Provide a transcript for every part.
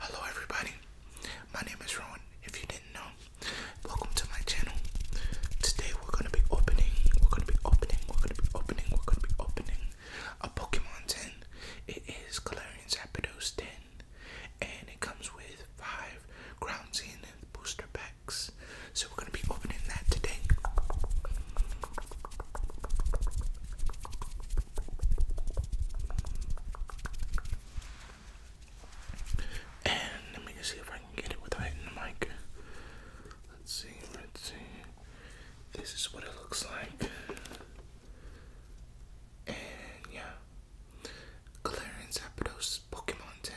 Hello, everybody. My name is Rowan. If you didn't know, welcome to my channel. Today we're gonna be opening, we're gonna be opening, we're gonna be opening, we're gonna be opening a Pokemon 10. It is Galarian Zapdos 10, and it comes with five Ground Zenith booster packs. So we're gonna be opening that today. And let me see if I can get it without the mic. Let's see, let's see. This is what it looks like. And yeah. Galarian Zapdos Pokemon 10.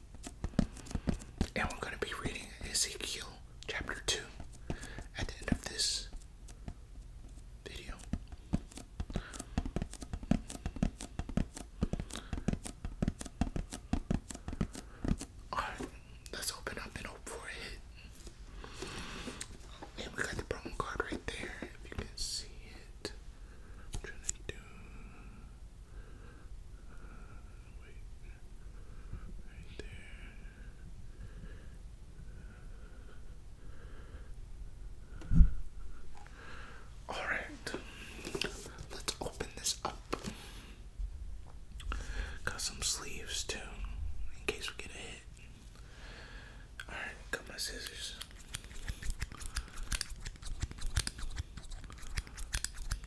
And we're going to be reading Ezekiel chapter 2 at the end of this video. let's open up and hope for And we got the promo card right there, if you can see it. I'm trying do. All right, let's open this up. Got some sleeves too, in case we get a hit. All right, got my scissors.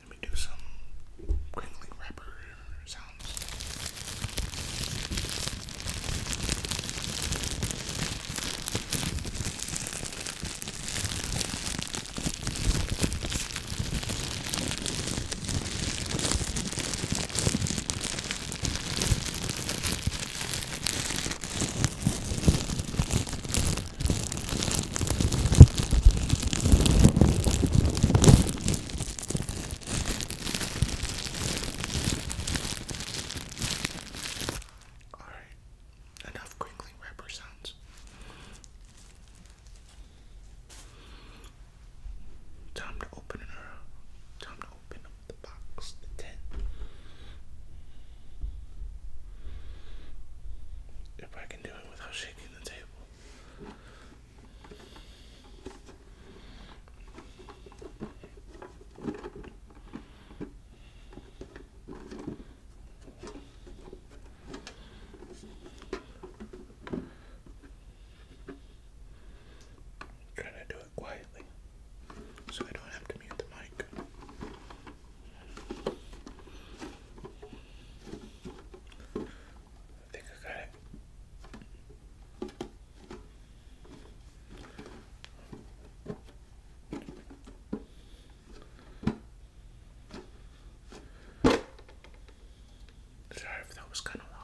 Let me do some crinkly wrapper sounds. Alright, enough crinkling wrapper sounds. Time to open it up. Time to open up the box, the tent. If I can do it without shaking the table. I'm to do it quietly so I don't have to mute the mic. I think I got it that was kind of loud.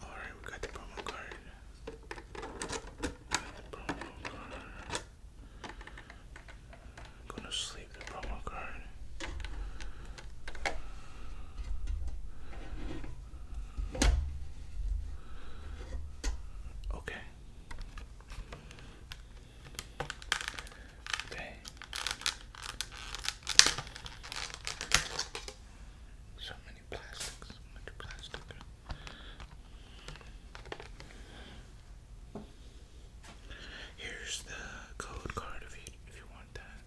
Alright, we got the promo card. I'm gonna sleep the promo card. Okay. Okay. So many plastics, so much plastic. Here's the code card if you if you want that.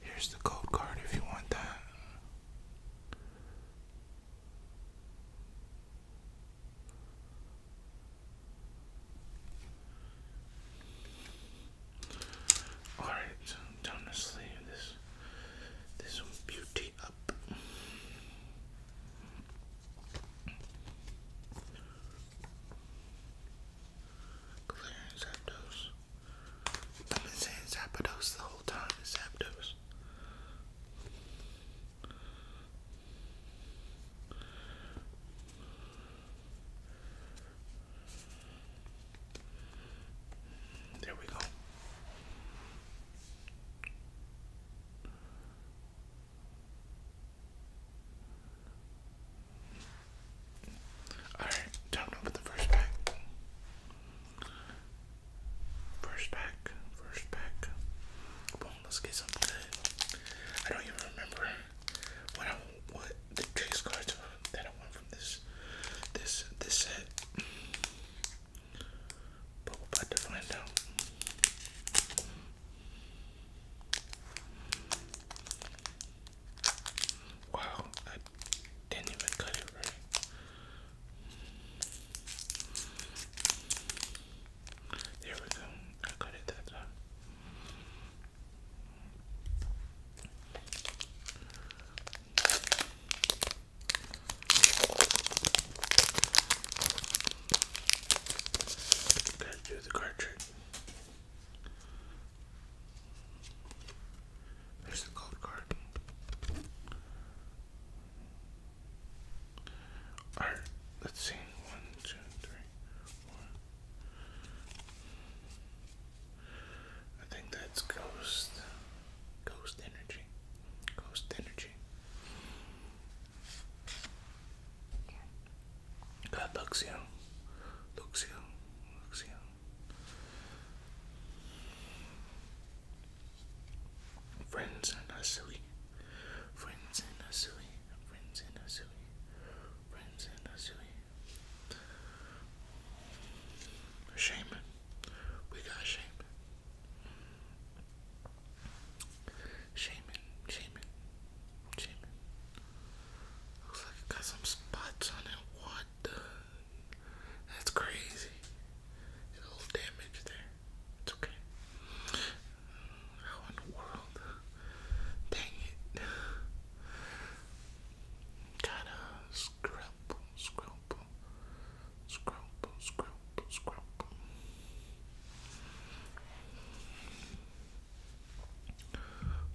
Here's the code card if you want that. All right, so I'm down to sleeve this this beauty up. Clearing Zapdos. I've been saying Zapdos the whole time. Zapdos. There we go. All right, time to open the first pack. First pack, first pack. Boom, let's get something good. I don't even remember what what the chase cards that I want from this this this set. But we're about to find out. Wow, I didn't even cut it right. There we go. I cut it that time. Gotta do the cartridge. There's the gold card. All right, let's see. One, two, three, four. I think that's ghost, ghost energy, ghost energy. God looks you, Friends are not silly. Friends are not silly. Friends are not silly. Friends are not silly. Shame. We got shame. Shaman, shaman, shaman. Looks like it got some spots on it. What the? That's crazy. A little damage there. It's okay. How in the world? Dang it. Gotta scrumple, scrumple, scrumple, scrumple, scrumple.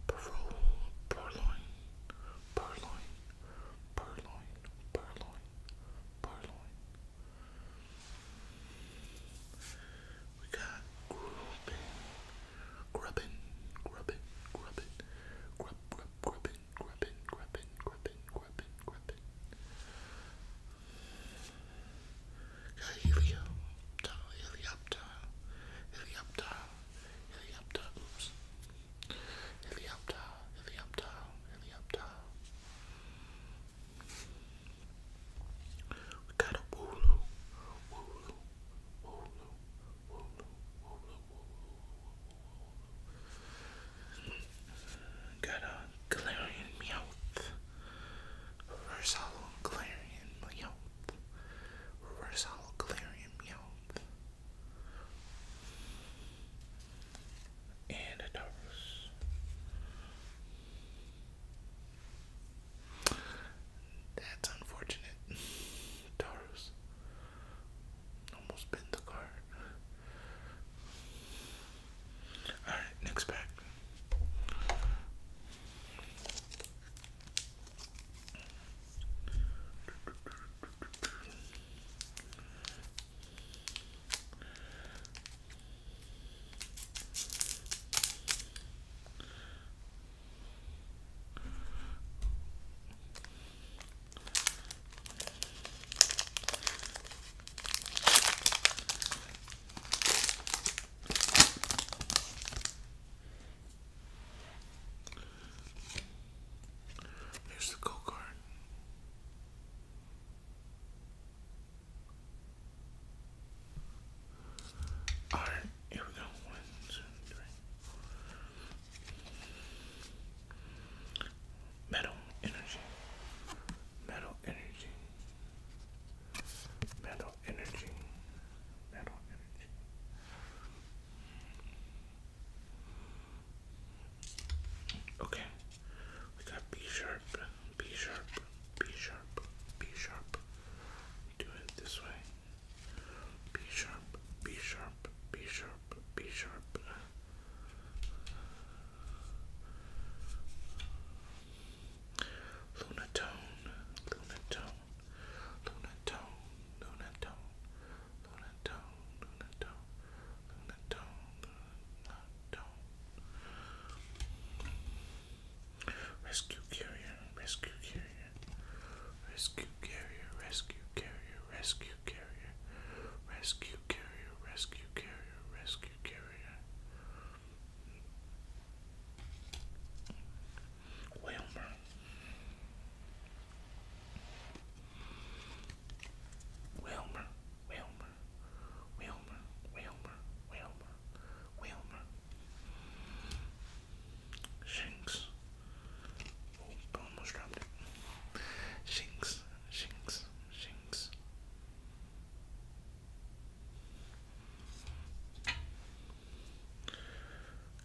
Parole, purloin, purloin, purloin, purloin, purloin, we got grubbin, grubbin, grubbin, grubbin, grub, grub, grubbin, grubbin, grubbin, grubbin, grubbin, grubbin. Got helioptile, helioptile, helioptile, helioptile, oops. Helioptile, helioptile, helioptile. We got a wooloo, wooloo, wooloo, wooloo, wooloo, wooloo, wooloo. Got a Galarian Meowth. Reverse hollow Meowth. Reverse hollow Meowth and a Taurus. That's unfortunate. Taurus. Almost bent the card. Alright, next pack. There's the go card. Alright, here we go. One, two, three. Metal energy. Metal energy. Metal energy. Metal energy. Okay, we got B sharp, B sharp, B sharp, B sharp. do it this way. B sharp, B sharp, B sharp, B sharp. Lunatone, lunatone, lunatone, lunatone, lunatone, lunatone, lunatone, Rescue carrier, rescue carrier, rescue carrier, rescue carrier, rescue carrier, rescue carrier, rescue carrier, rescue carrier. Wilmer, Wilmer, Wilmer, Wilmer, Wilmer, Wilmer, Wilmer. Shinks. Oh, almost dropped it. Shinks, Shinks, Shinks.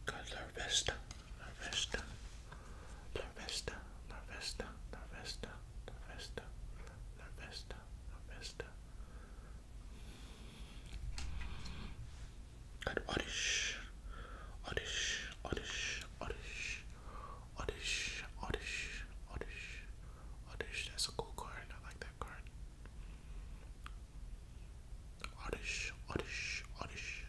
Color Vista. La Vesta, La Vesta, La Vesta, La Got Oddish, Oddish, Oddish, Oddish, Oddish, Oddish, Oddish, Oddish. That's a cool card. I like that card. Oddish, Oddish, Oddish,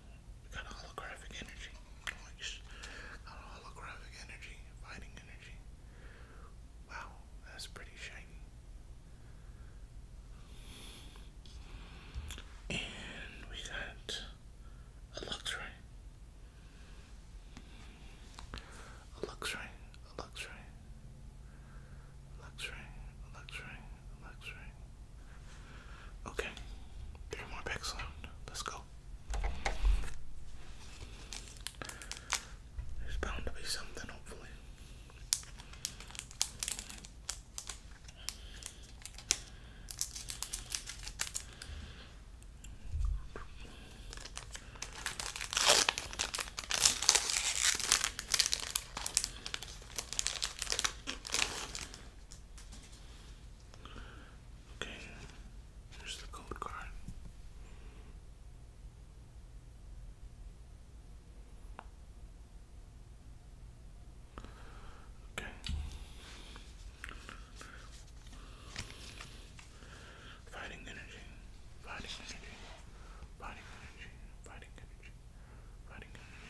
we got holographic energy. Nice. Got holographic energy. Fighting energy. Wow, that's pretty shiny. And we got a Luxray. A Luxray. A Luxray. A Luxray. A Okay. Three more picks left. Let's go. There's bound to be something, hopefully. Okay, here's the code card. Okay. Fighting energy, fighting energy, fighting energy, fighting energy, fighting energy.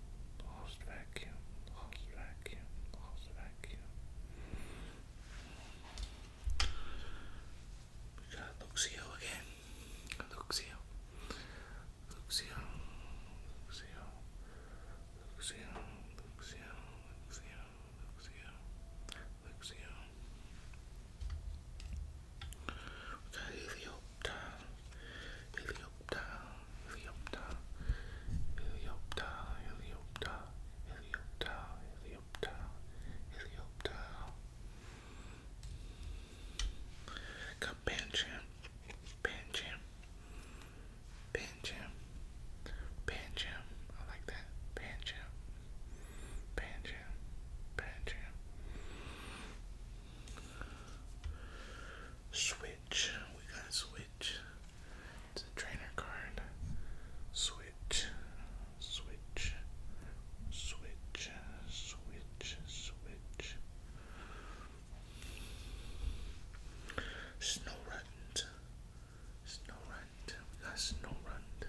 lost vacuum, lost vacuum, lost vacuum. We got Luxio again. Luxio. Luxio. Luxio. Luxio. Luxio. Luxio. Luxio. Luxio. We got Helioptile. Helioptile. Heliopter, Heliopter, Heliopter, Heliopter, Heliopter, Heliopter, Heliopter. Got Pancham, Pancham, Pancham, Pancham. I like that. Pancham, Pancham, Pancham. Switch. We got Switch. It's a trainer card. Switch, switch, switch, switch, switch. Snow Runt. Snow Runt. We Snow Runt.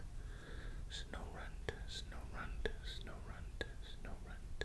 Snow Runt. Snow Runt. Snow Runt. Snow Runt.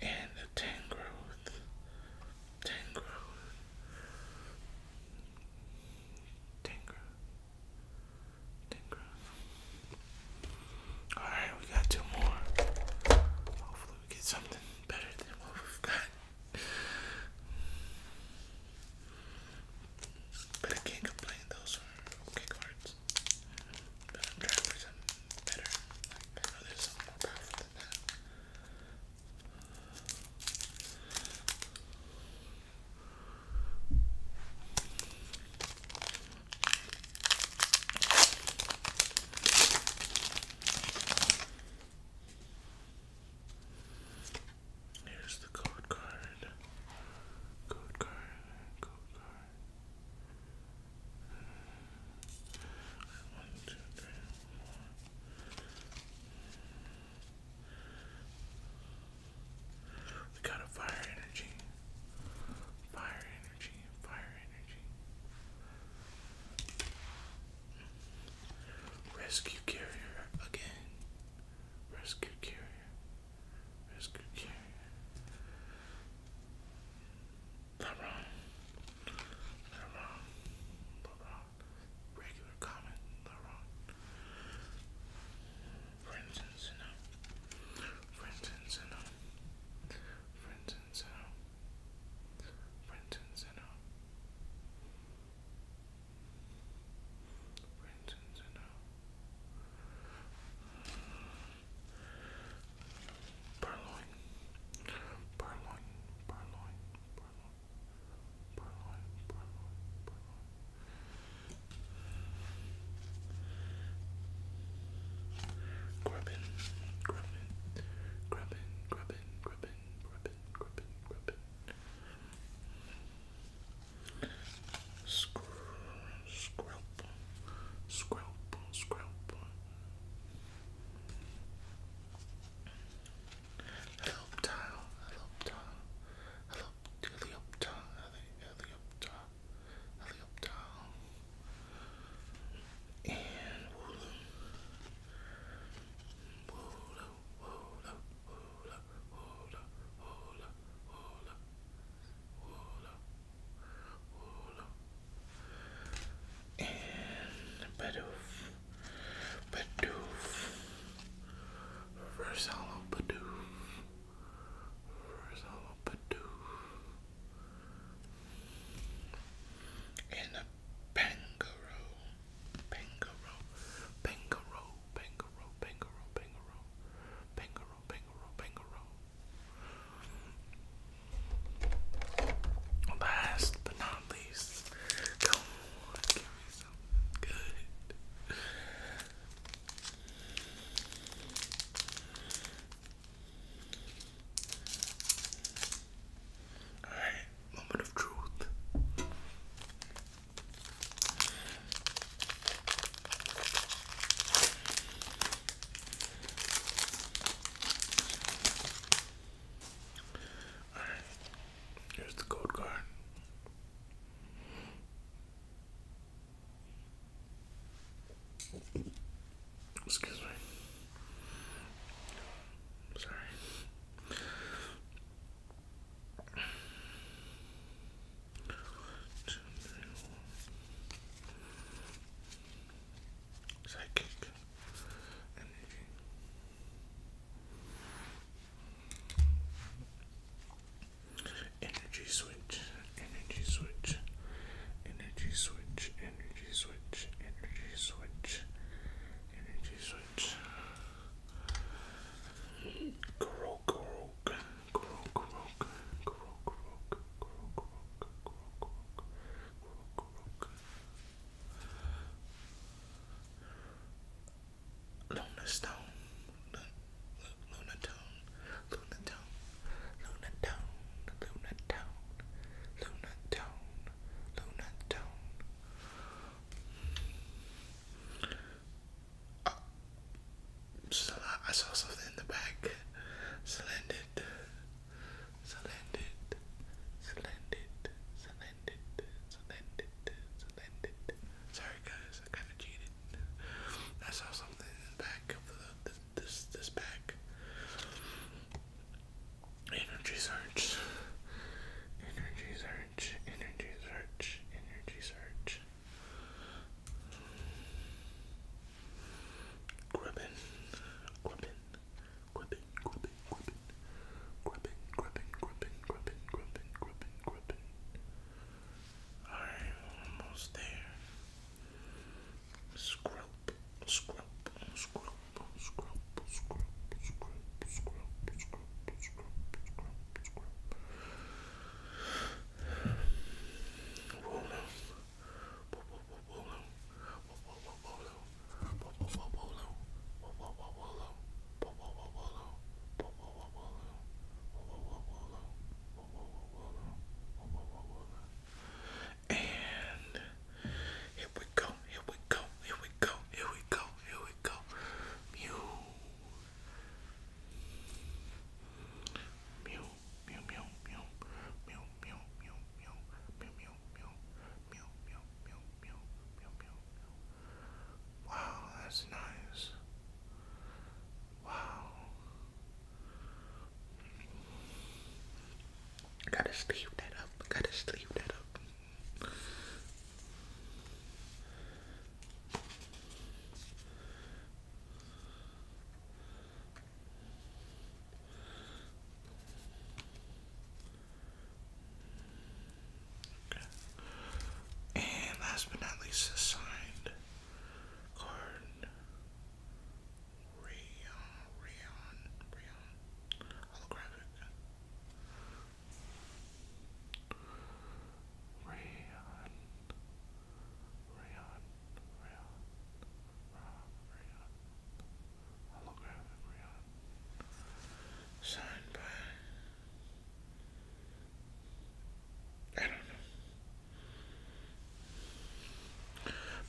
And the Tangrowth. Tangrowth. Tangrowth. Tangrowth. Alright, we got two more. Hopefully we get something better than what we've got. But I can't complain, those are okay cards. But I'm trying for something better. Like, I Here's the code card. Code card. Code card. One, two, three, four. We got a fire energy. Fire energy. Fire energy. Rescue carrier again. Rescue carrier. Rescue carrier. LeBron. LeBron. LeBron. Regular common. LeBron. Friends and Sinnoh. Friends Purloin, purloin, purloin, purloin, purloin, purloin, purloin. Grubbin, Scr scrub, scrub, scrub. Helioptile, helioptile, helioptile, helioptile, helioptile, and wooloo, wooloo, wooloo, wooloo, hula, And Badoof, Badoof, reverse hollow Badoof, reverse hollow a Pangaroo, Pangaro, Pangaro, Pangaro, Pangaro, Pangaro, Pangaro, Pangaro, Pangaro. Last but not least, come on, give me something good. Alright, moment of truth. Alright, here's the code card. Excuse me. Sorry. Psychic energy. Energy switch, energy switch, energy switch, energy switch, energy switch, energy switch, energy switch, Grog, grog, grog, grog, grog, grog, grog, grog, grog, Luna Stone, Luna, Luna Tone, Luna Tone, Luna Tone, Luna Tone, Luna Tone, Luna Tone, I saw something in the back. Slanted, slanted, slanted, slanted, slanted, slanted. Sorry, guys, I kind of cheated. I saw something in the back of the, this, this bag. Energy search. Energy search. Energy search. Energy search. Gribbin. Gribbin. Gribbin. Gribbin. Gribbin. Gribbin. Gribbin. Gribbin. Gribbin. Gribbin. Gribbin. Gribbin. Alright, almost there. Scrub. Scrub. Scrub scrub, scrub, And here we go, here we go, here we go, here we go, here we go. Mew. Mew, mew, mew, mew, mew, mew, mew, mew, mew, mew, mew, mew, mew, mew, mew, mew, mew. Wow, that's nice. Wow. Gotta sleeve that up. Gotta sleeve that up. And last but not least, the signed card. Rayon, Rayon, Rayon, holographic. Rayon, Rayon, Rayon, Rayon, holographic Rayon, signed by, I don't know,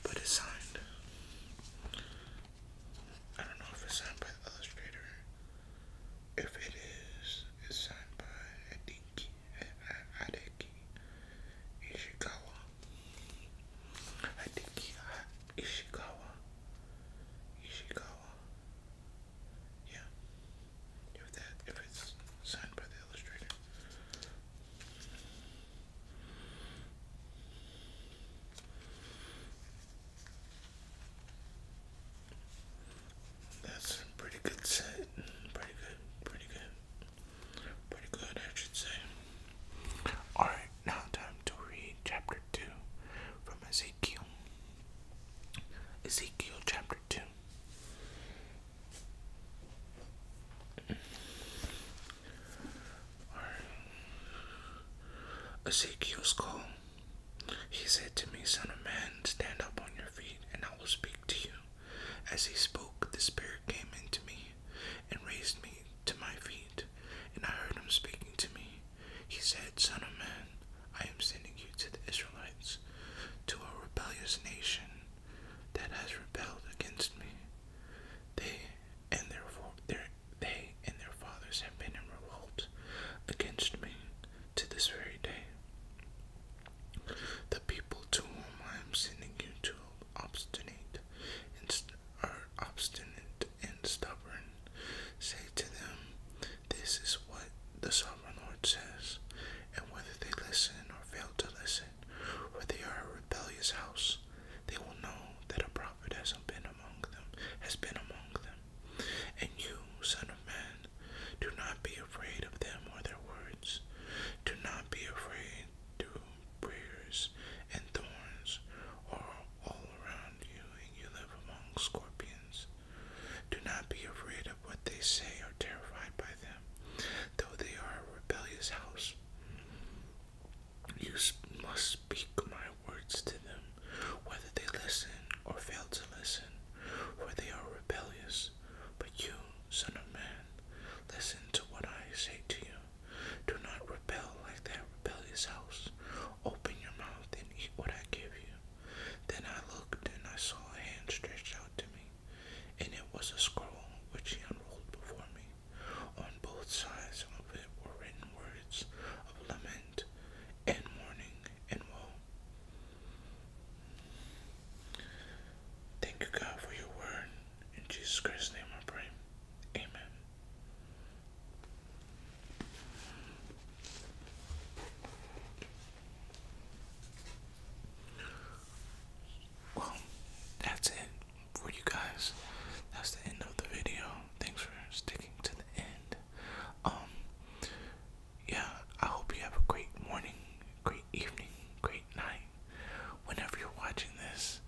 but it's signed. I don't know if it's signed by Illustrator. If it is, it's signed by Adeki, Hideki Ishikawa. Hideki Ishikawa. Ishikawa. Yeah. If that, if it's signed by the Illustrator. That's a pretty good set. Pretty good, pretty good. Pretty good, I should say. Alright, now time to read chapter 2 from Ezekiel. Ezekiel chapter 2. Ezekiel's call. He said to me, Son of man, stand up on your feet, and I will speak to you. As he spoke, the Spirit came into me and raised me to my feet, and I heard him speaking to me. He said, Son of man, I am sending you to the Israelites, to a rebellious nation that has rebelled against me. They and therefore they and their fathers have been in revolt against me to this very day. The people to whom I am sending you to obstinate are obstinate and stubborn. Say to them, This is what the sovereign Lord says, and whether they listen or fail to listen, or they are a rebellious house, they will know that a it has been among them, has been among them. And you, son of man, do not be afraid of them or their words. Do not be afraid through prayers and thorns are all around you, and you live among scorpions. Do not be afraid of what they say or terrified by them, though they are a rebellious house. You must speak my words to them, whether they listen or fail to listen, for they are rebellious. But you, son of man, listen to what I say to you. Do not rebel like that rebellious house. Open your mouth and eat what I give you. Then I looked and I saw a hand stretched out to me, and it was a scroll which he unrolled before me. On both sides of it were written words of lament and mourning and woe. Thank you, God, for your word. In Jesus Christ's name I pray. Amen. Well, that's it for you guys. That's the end of the video. Thanks for sticking to the end. Um, yeah, I hope you have a great morning, great evening, great night, whenever you're watching this.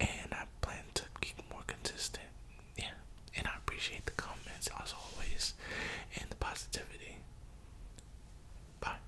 And I plan to keep more consistent. Yeah, and I appreciate the comments as always and the positivity. Bye.